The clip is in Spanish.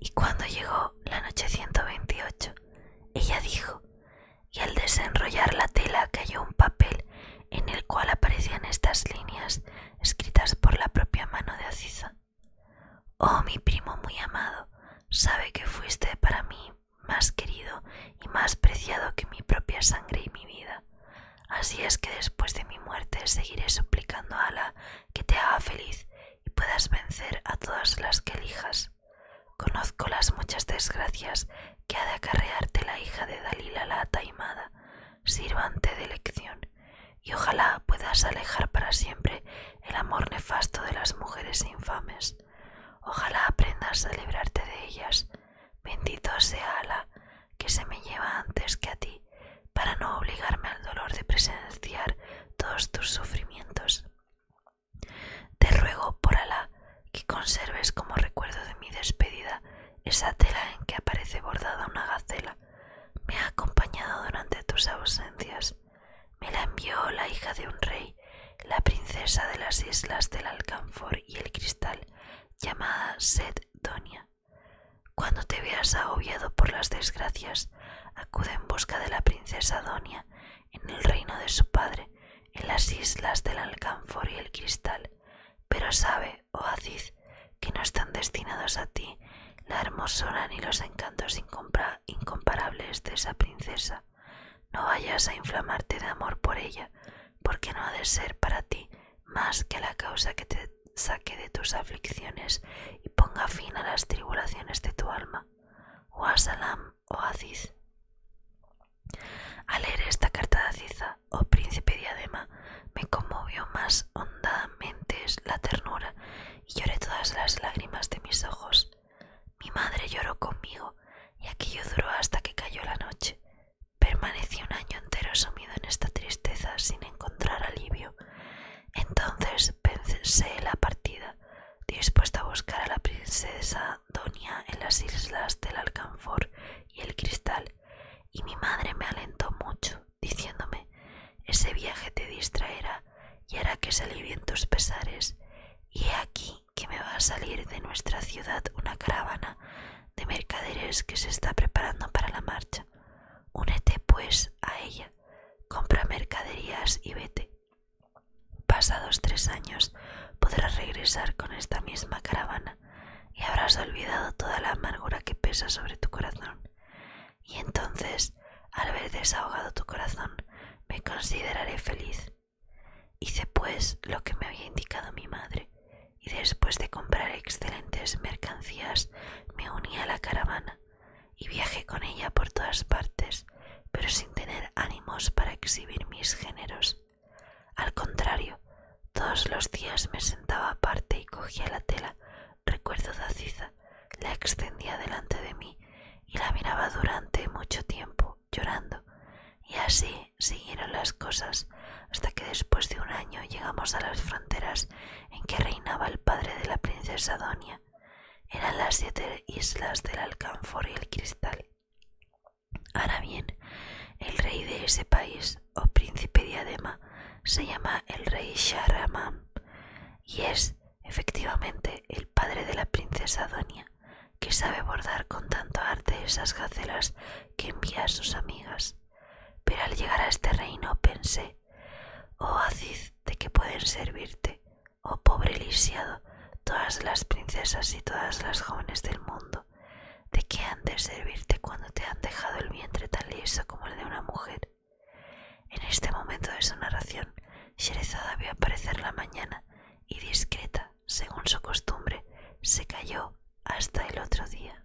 Y cuando llegó la noche 128, ella dijo, y al desenrollar la tela cayó un papel en el cual aparecían estas líneas escritas por la propia mano de Aciza. Oh, mi primo muy amado, sabe que fuiste para mí más querido y más preciado que mi propia sangre y mi vida. Así es que después de mi muerte seguiré suplicando a Ala que te haga feliz y puedas vencer a todas las que elijas. Conozco las muchas desgracias que ha de acarrearte la hija de Dalila la Ataimada, sirvante de lección y ojalá puedas alejar para siempre el amor nefasto de las mujeres infames. Ojalá aprendas a librarte de ellas. Bendito sea Ala, que se me lleva antes que a ti, para no obligarme al dolor de presenciar todos tus sufrimientos. Te ruego, por Alá, que conserves como recuerdo de mi despedida esa tela en que aparece bordada una gacela. Me ha acompañado durante tus ausencias. Me la envió la hija de un rey, la princesa de las islas del Alcanfor y el Cristal, llamada Donia. Cuando te veas agobiado por las desgracias, acude en busca de la princesa Donia en el reino de su padre, en las islas del Alcanfor y el Cristal. Pero sabe, oh Aziz, que no están destinados a ti la hermosura ni los encantos incomparables incomparables de esa princesa. No vayas a inflamarte de amor por ella, porque no ha de ser para ti más que la causa que te saque de tus aflicciones y ponga fin a las tribulaciones de tu alma. O Asalam o oh Aziz. Al leer esta carta de Aziza, oh príncipe diadema, me conmovió más hondamente la ternura lloré todas las lágrimas de mis ojos. Mi madre lloró conmigo y aquello duró hasta que cayó la noche. Permanecí un año entero sumido en esta tristeza sin encontrar alivio. Entonces pensé la partida, dispuesta a buscar a la princesa Donia en las islas del Alcanfor y el Cristal, y mi madre me alentó mucho diciéndome ese viaje te distraerá y hará que se tus pesares y he aquí que me va a salir de nuestra ciudad una caravana de mercaderes que se está preparando para la marcha únete pues a ella compra mercaderías y vete pasados tres años podrás regresar con esta misma caravana y habrás olvidado toda la amargura que pesa sobre tu corazón y entonces, al ver desahogado tu corazón, me consideraré feliz. Hice pues lo que me había indicado mi madre, y después de comprar excelentes mercancías, me uní a la caravana y viajé con ella por todas partes, pero sin tener ánimos para exhibir mis géneros. Al contrario, todos los días me sentaba aparte y cogía la tela Recuerdo Daciza, la extendía delante de mí y la miraba durante mucho tiempo, llorando. Y así siguieron las cosas, hasta que después de un año llegamos a las fronteras en que reinaba el padre de la princesa Donia. Eran las siete islas del alcanfor y el cristal. Ahora bien, el rey de ese país, o príncipe diadema, se llama el rey Shahramán y es efectivamente el padre de la princesa Donia, que sabe bordar con tanto arte esas gacelas que envía a sus amigas. Pero al llegar a este reino pensé, oh Aziz, de qué pueden servirte, oh pobre lisiado, todas las princesas y todas las jóvenes del mundo, de qué han de servirte cuando te han dejado el vientre tan liso como el de una mujer en este momento de su narración, Sherezada vio aparecer la mañana y discreta, según su costumbre, se cayó hasta el otro día.